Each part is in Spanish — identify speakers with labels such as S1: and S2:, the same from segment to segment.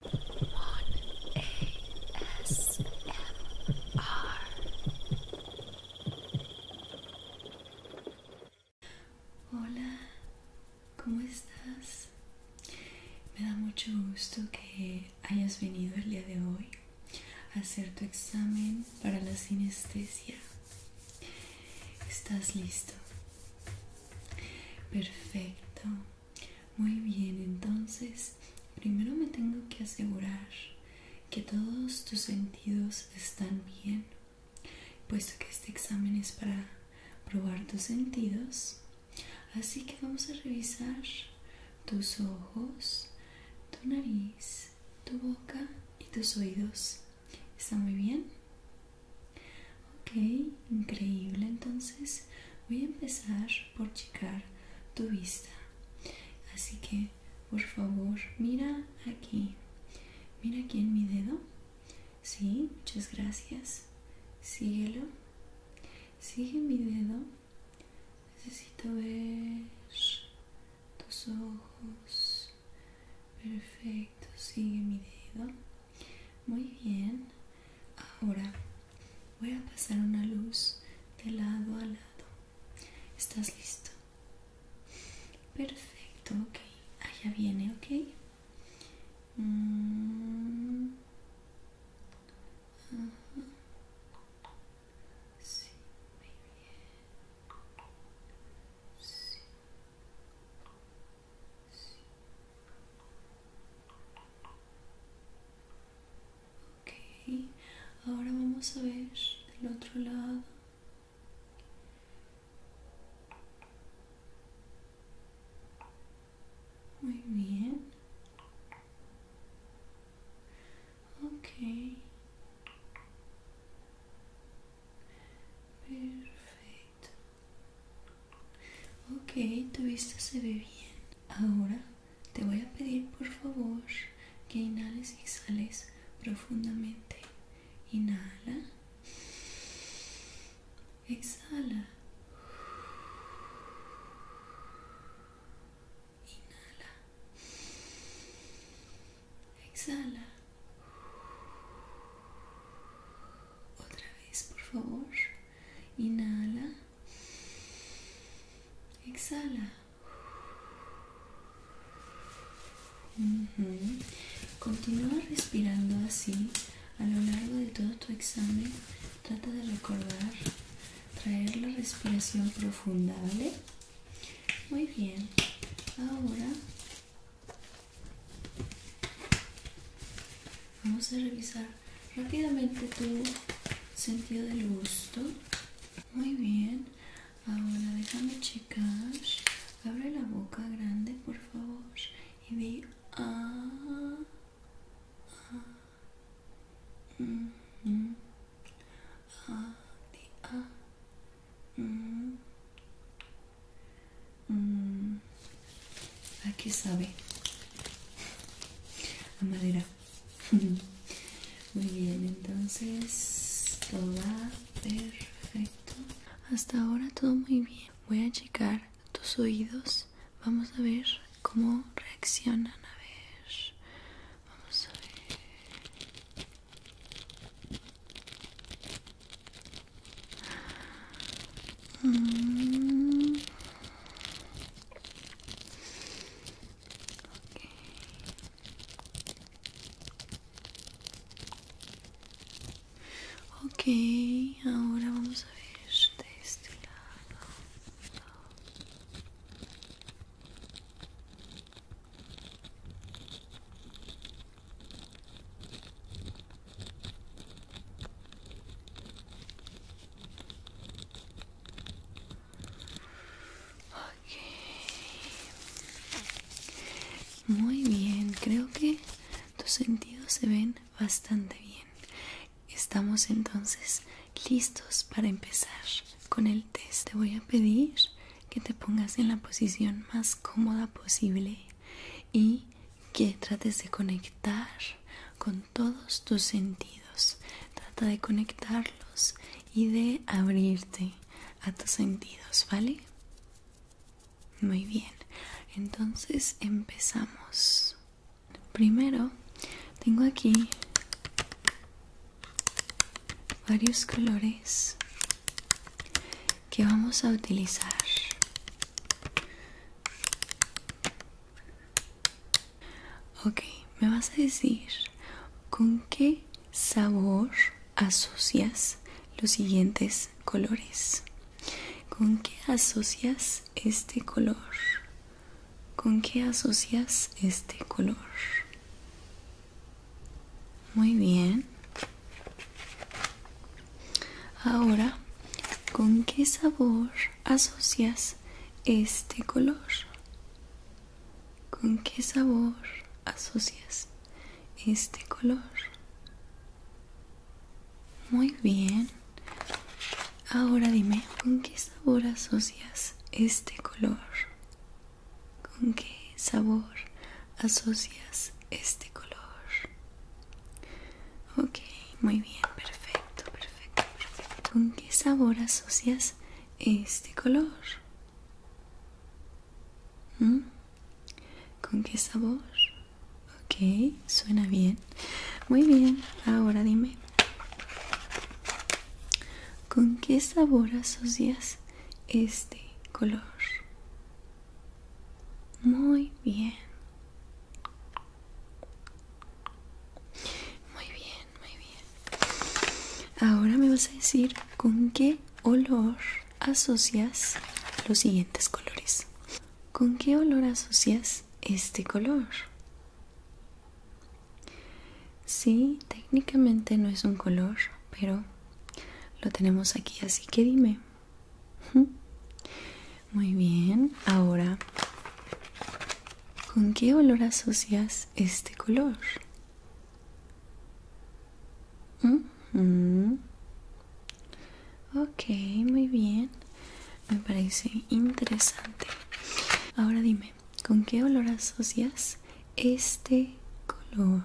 S1: Hola, ¿cómo estás? Me da mucho gusto que hayas venido el día de hoy a hacer tu examen para la sinestesia. ¿Estás listo? Perfecto. Muy bien, entonces primero me tengo que asegurar que todos tus sentidos están bien. Puesto que este examen es para probar tus sentidos, así que vamos a revisar tus ojos, tu nariz, tu boca y tus oídos. ¿Está muy bien? Ok, increíble. Entonces voy a empezar por checar tu vista. Así que, por favor, mira aquí. Mira aquí en mi dedo. Sí, muchas gracias. Síguelo. Sigue mi dedo. Necesito ver tus ojos. Perfecto, sigue mi dedo. Muy bien, ahora voy a pasar una luz de lado a lado. ¿Estás listo? Perfecto, ok. Allá ah, viene, ok.
S2: Mm. Sí, muy bien.
S1: Okay, Ok, ahora vamos a ver el otro lado.
S2: Muy bien. Ok. Perfecto. Ok, tu
S1: vista se ve bien. Ahora te voy a pedir por favor que inhales y exhales profundamente. Inhala. Exhala. Inhala. Exhala. Otra vez, por favor. Inhala. Exhala. Continúa respirando así a lo largo de todo tu examen. Trata de recordar traer la respiración profunda, ¿vale? Muy bien. Ahora Vamos a revisar rápidamente tu sentido del gusto. Muy bien. Ahora déjame checar. Abre la boca grande, por favor. Y a di,
S2: Mm,
S1: aquí ¿A qué sabe? A madera. Muy bien, entonces todo va perfecto. Hasta ahora todo muy bien. Voy a checar tus oídos. Vamos a ver cómo reaccionan. A ver. Vamos a ver.
S2: Okay. Ok, ahora
S1: vamos a ver este lado. Muy bien, creo que tus sentidos se ven bastante bien. Estamos entonces listos para empezar con el test. Te voy a pedir que te pongas en la posición más cómoda posible y que trates de conectar con todos tus sentidos. Trata de conectarlos y de abrirte a tus sentidos, ¿vale? Muy bien, entonces empezamos. Primero, tengo aquí varios colores que vamos a utilizar Ok, me vas a decir con qué sabor asocias los siguientes colores. ¿Con qué asocias este color? ¿Con qué asocias este color? Muy bien. Ahora, ¿con qué sabor asocias este color? ¿Con qué sabor asocias este color? Muy bien. Ahora dime, ¿con qué sabor asocias este color? ¿Con qué sabor asocias este color? Ok, muy bien, perfecto, perfecto, ¿Con qué sabor asocias este color? ¿Mm? ¿Con qué sabor? Ok, suena bien. Muy bien, ahora dime. ¿Con qué sabor asocias este color? Muy bien. Muy bien, muy bien. Ahora me vas a decir con qué olor asocias los siguientes colores. ¿Con qué olor asocias este color? Sí, técnicamente no es un color, pero lo tenemos aquí, así que dime. Muy bien, ahora, ¿con qué olor asocias este color? Ok, muy bien. Me parece interesante. Ahora dime, ¿con qué olor asocias este color?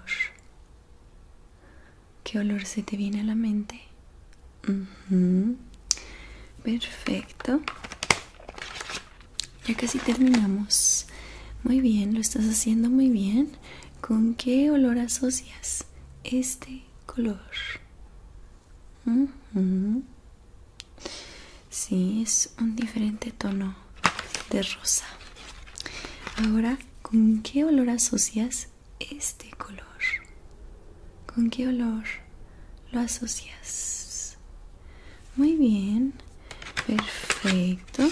S1: ¿Qué olor se te viene a la mente? Perfecto. Ya casi terminamos. Muy bien, lo estás haciendo muy bien. ¿Con qué olor asocias este color? Sí, es un diferente tono de rosa. Ahora, ¿con qué olor asocias este color? ¿Con qué olor lo asocias? Muy bien, perfecto.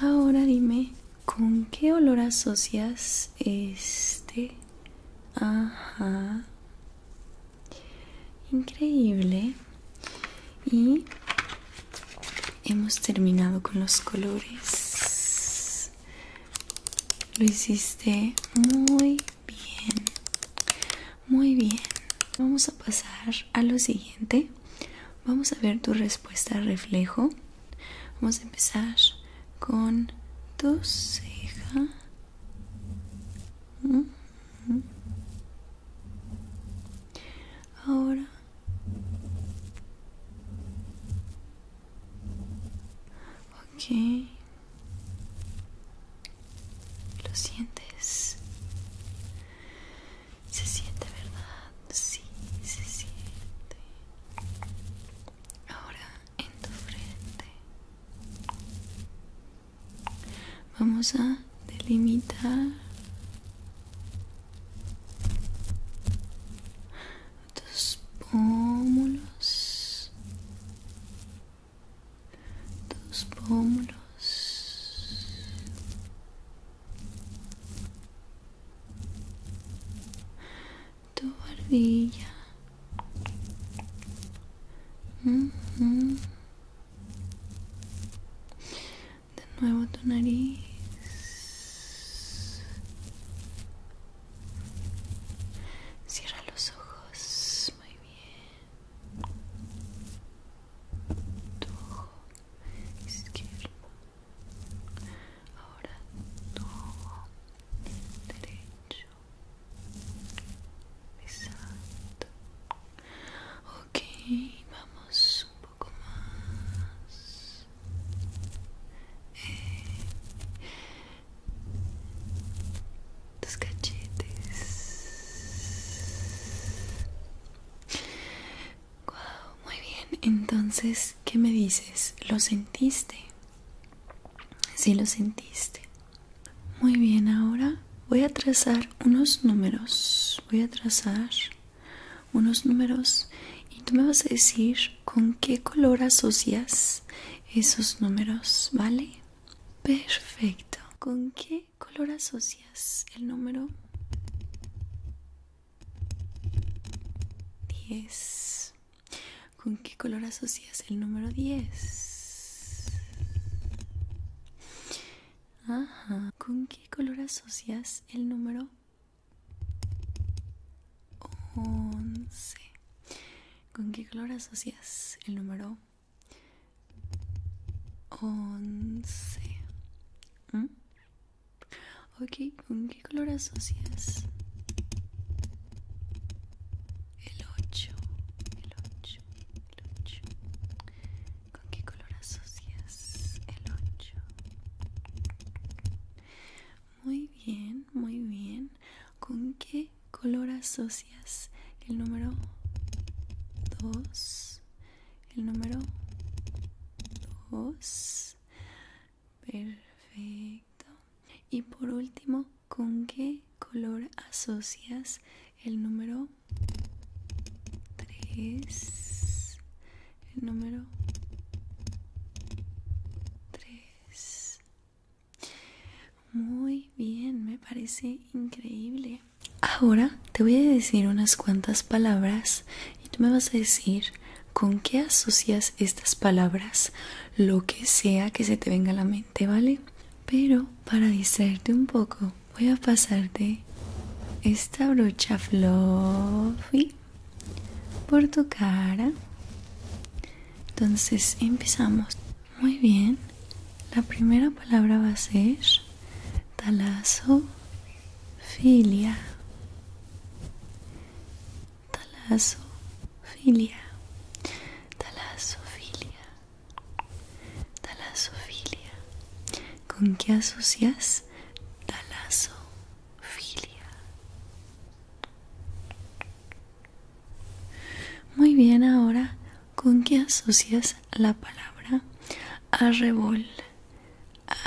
S1: Ahora dime, ¿con qué olor asocias este? Ajá. Increíble. Y hemos terminado con los colores. Lo hiciste muy bien. Muy bien. Vamos a pasar a lo siguiente. Vamos a ver tu respuesta reflejo. Vamos a empezar con tu ceja. Ahora Ok. ¿Lo sientes? Se siente, ¿verdad? Sí, se siente. Ahora en tu frente. Vamos a delimitar
S2: dos tus pómulos, tus pómulos,
S1: tu barbilla de nuevo tu nariz cierra los ojos muy bien tu ojo izquierdo ahora tu ojo derecho exacto ok vamos poco más eh, tus cachetes wow, muy bien entonces qué me dices lo sentiste sí, lo sentiste muy bien ahora voy a trazar unos números voy a trazar unos números y tú me vas a decir con qué color asocias esos números, ¿vale? Perfecto. ¿Con qué color asocias el número 10? ¿Con qué color asocias el número 10? Ajá. ¿Con qué color asocias el número 11. ¿Con qué color asocias el número 11? ¿Mm? Ok, ¿con qué color asocias el 8? El 8, el 8. ¿Con qué color color asocias el 8. Muy bien, muy bien. ¿Con qué color asocias el número 2? El número 2. Perfecto. Y por último, ¿con qué color asocias el número 3? el número 3. Muy bien, me parece increíble. Ahora te voy a decir unas cuantas palabras y tú me vas a decir con qué asocias estas palabras, lo que sea que se te venga a la mente, ¿vale? Pero para distraerte un poco, voy a pasarte esta brocha fluffy por tu cara entonces empezamos muy bien la primera palabra va a ser talasofilia talasofilia talasofilia talasofilia con qué asocias talazo filia Muy bien, ahora, ¿con qué asocias la palabra arrebol? Arrebol.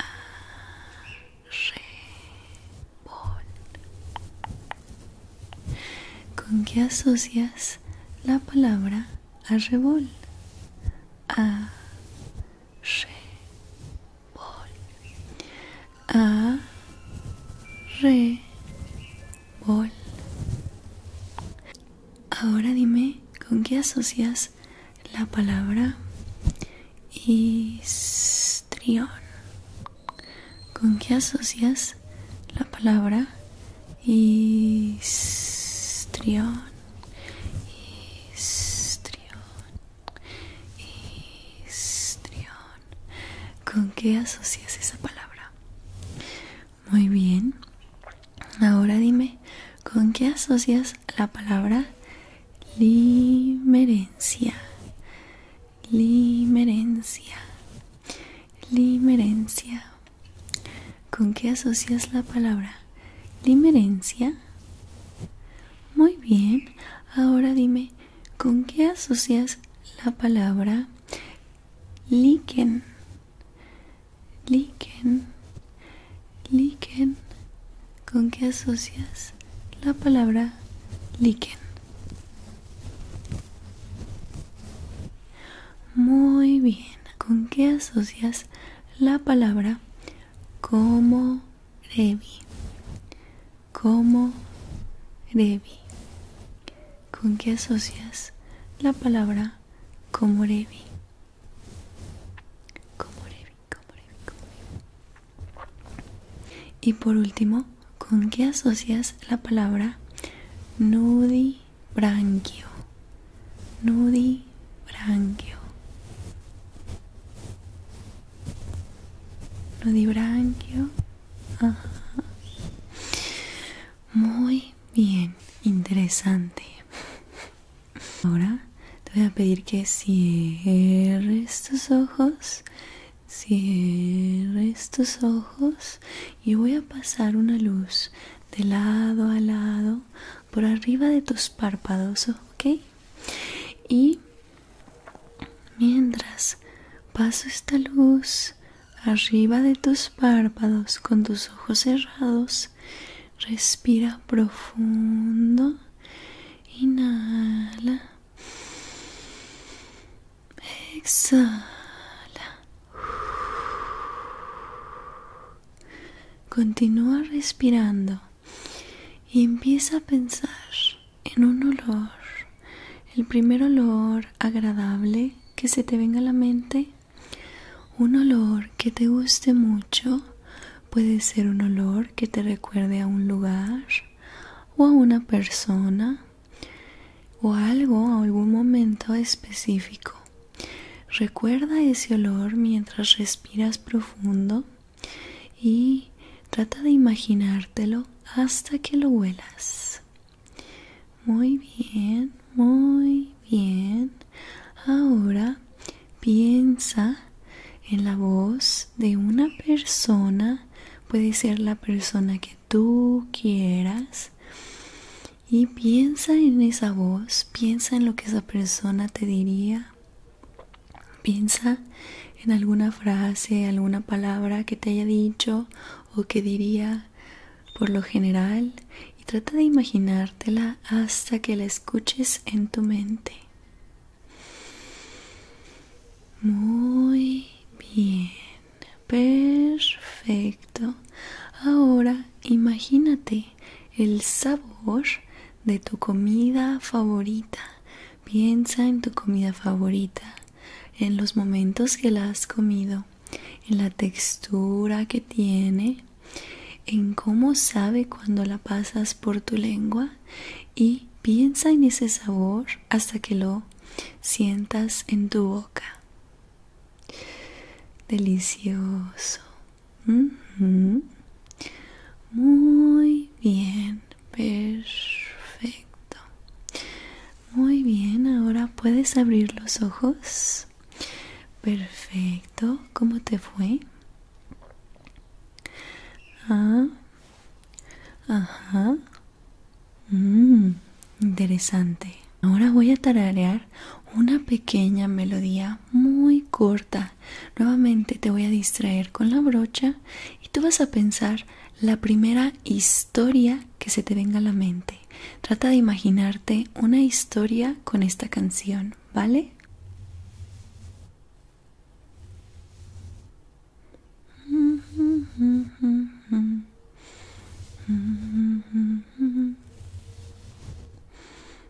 S1: ¿Con qué asocias la palabra arrebol? Arrebol ahora dime con qué asocias la palabra histrión con qué asocias la palabra ¿Con qué asocias esa palabra? Muy bien. Ahora dime, ¿con qué asocias la palabra limerencia? Limerencia. Limerencia. ¿Con qué asocias la palabra limerencia? Muy bien, ahora dime, ¿con qué asocias la palabra liquen? Liquen, liquen, ¿con qué asocias la palabra liquen? Muy bien, ¿con qué asocias la palabra como Revi, como Revi. ¿Con qué asocias la palabra como Revi? Como Revi, como Revi, Y por último, ¿con qué asocias la palabra nudibranquio? nudibranquio. Nudibranquio. Ajá. Muy bien, interesante. Ahora te voy a pedir que cierres tus ojos. Cierres tus ojos y voy a pasar una luz de lado a lado por arriba de tus párpados, ¿ok? Y mientras paso esta luz arriba de tus párpados con tus ojos cerrados, respira profundo, inhala, exhala. Continúa respirando y empieza a pensar en un olor, el primer olor agradable que se te venga a la mente, un olor que te guste mucho, puede ser un olor que te recuerde a un lugar o a una persona o algo, a algún momento específico. Recuerda ese olor mientras respiras profundo y trata de imaginártelo hasta que lo huelas. Muy bien, muy bien. Ahora piensa en la voz de una persona. Puede ser la persona que tú quieras. Y piensa en esa voz, piensa en lo que esa persona te diría, piensa en alguna frase, alguna palabra que te haya dicho o que diría por lo general y trata de imaginártela hasta que la escuches en tu mente. Muy bien, perfecto. Ahora imagínate el sabor de tu comida favorita. Piensa en tu comida favorita, en los momentos que la has comido, en la textura que tiene, en cómo sabe cuando la pasas por tu lengua y piensa en ese sabor hasta que lo sientas en tu boca. Delicioso. Muy bien, perfecto. Muy bien, ahora puedes abrir los ojos. Perfecto, ¿cómo te fue? Ah, ajá. Mm, interesante. Ahora voy a tararear una pequeña melodía muy corta. Nuevamente te voy a distraer con la brocha y tú vas a pensar la primera historia que se te venga a la mente. Trata de imaginarte una historia con esta canción, ¿vale?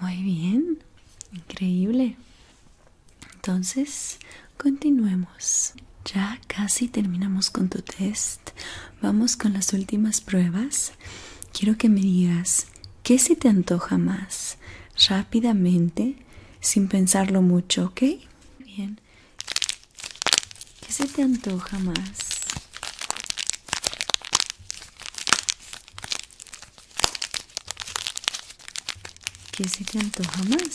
S1: Muy bien, increíble. Entonces, continuemos. Ya casi terminamos con tu test. Vamos con las últimas pruebas. Quiero que me digas qué se te antoja más rápidamente, sin pensarlo mucho, ¿ok? Bien. ¿Qué se te antoja más? ¿Qué se te antoja más?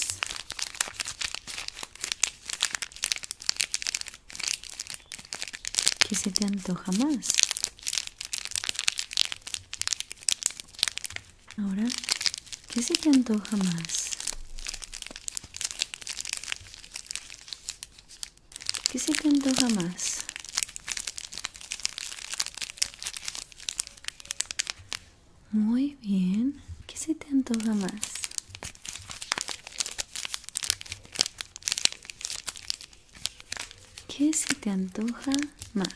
S1: ¿Qué se te antoja más? Ahora, ¿qué se te antoja más? ¿Qué se te antoja más? Muy bien. ¿Qué se te antoja más? ¿Qué se te antoja más?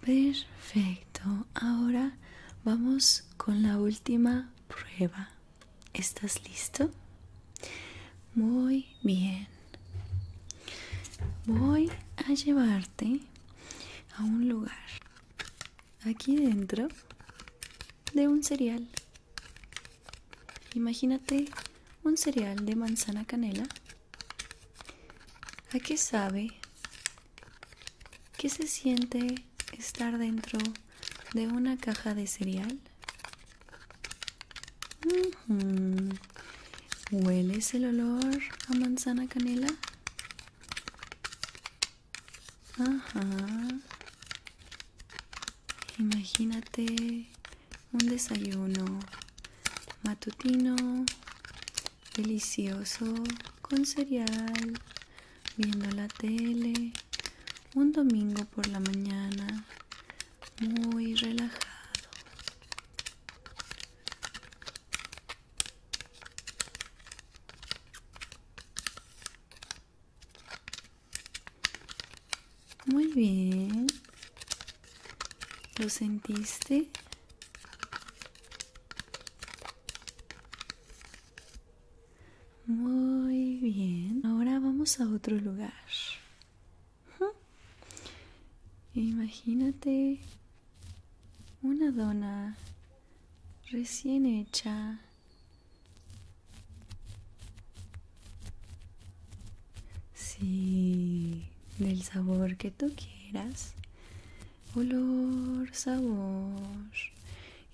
S1: Perfecto. Ahora vamos con la última prueba. ¿Estás listo? Muy bien. Voy a llevarte a un lugar aquí dentro de un cereal. Imagínate un cereal de manzana canela. ¿A qué sabe? ¿Qué se siente estar dentro de una caja de cereal? Huele ¿Hueles el olor a manzana canela? Ajá. Imagínate un desayuno matutino, delicioso, con cereal, viendo la tele, un domingo por la mañana muy relajado muy bien lo sentiste muy bien, ahora vamos a otro lugar. Imagínate una dona recién hecha sí del sabor que tú quieras olor sabor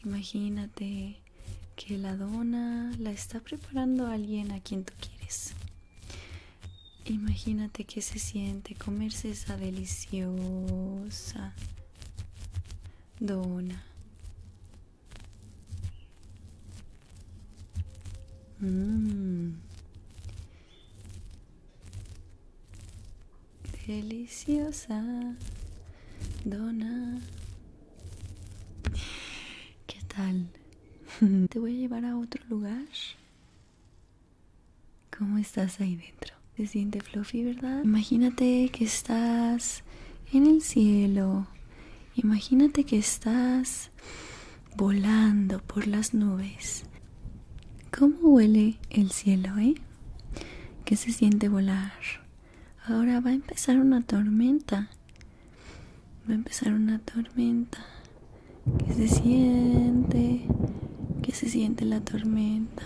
S1: imagínate que la dona la está preparando alguien a quien tú quieres. Imagínate que se siente comerse esa deliciosa dona. Mmm. Deliciosa. Dona. ¿Qué tal? Te voy a llevar a otro lugar. ¿Cómo estás ahí dentro? Se siente fluffy, ¿verdad? Imagínate que estás en el cielo. Imagínate que estás volando por las nubes. ¿Cómo huele el cielo, eh? ¿Qué se siente volar? Ahora va a empezar una tormenta. Va a empezar una tormenta. ¿Qué se siente? ¿Qué se siente la tormenta?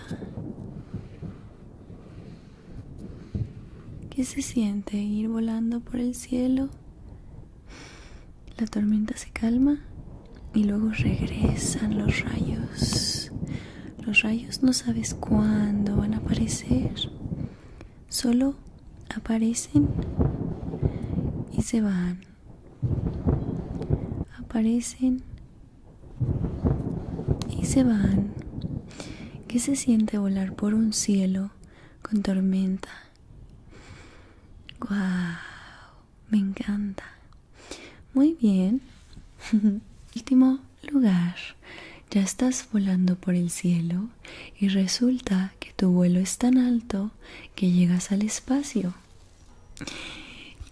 S1: ¿Qué se siente ir volando por el cielo? La tormenta se calma y luego regresan los rayos. Los rayos no sabes cuándo van a aparecer. Solo aparecen y se van. Aparecen y se van. ¿Qué se siente volar por un cielo con tormenta? ¡Guau! Me encanta. Muy bien. Último lugar. Ya estás volando por el cielo y resulta que tu vuelo es tan alto que llegas al espacio.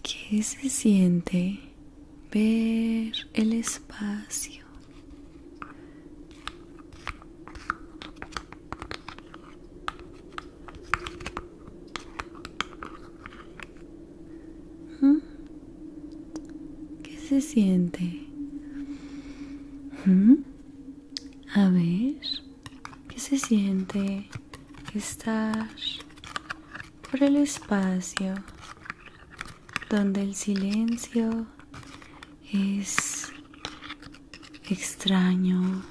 S1: ¿Qué se siente ver el espacio? ¿Qué se siente? A ver, ¿qué se siente estar por el espacio donde el silencio es extraño,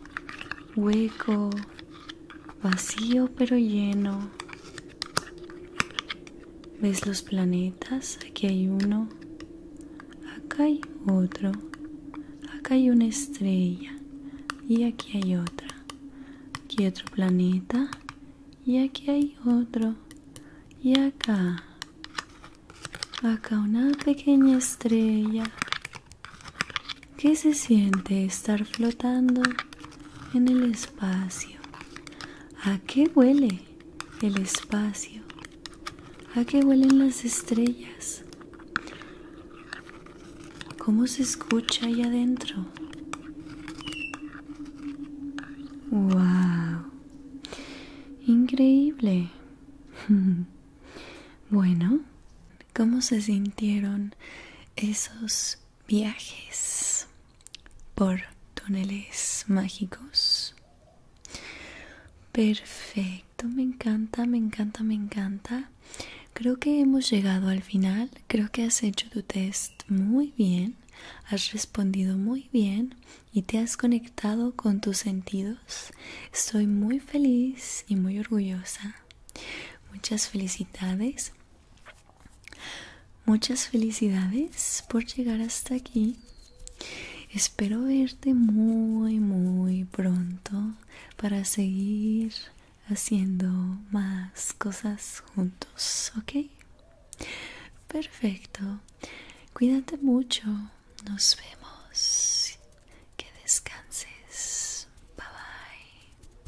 S1: hueco, vacío pero lleno ¿Ves los planetas? Aquí hay uno. Acá hay otro. Acá hay una estrella. Y aquí hay otra. Aquí otro planeta. Y aquí hay otro. Y acá. Acá una pequeña estrella. ¿Qué se siente estar flotando en el espacio. ¿A qué huele el espacio? ¿A qué huelen las estrellas? ¿Cómo se escucha ahí adentro? ¡Wow! Increíble. bueno, ¿cómo se sintieron esos viajes por túneles mágicos. Perfecto, me encanta, me encanta, me encanta. Creo que hemos llegado al final. Creo que has hecho tu test muy bien, has respondido muy bien y te has conectado con tus sentidos. Estoy muy feliz y muy orgullosa. Muchas felicidades. Muchas felicidades por llegar hasta aquí. Espero verte muy, muy pronto para seguir haciendo más cosas juntos, ¿ok? Perfecto. Cuídate mucho.
S2: Nos vemos. Que descanses. Bye bye.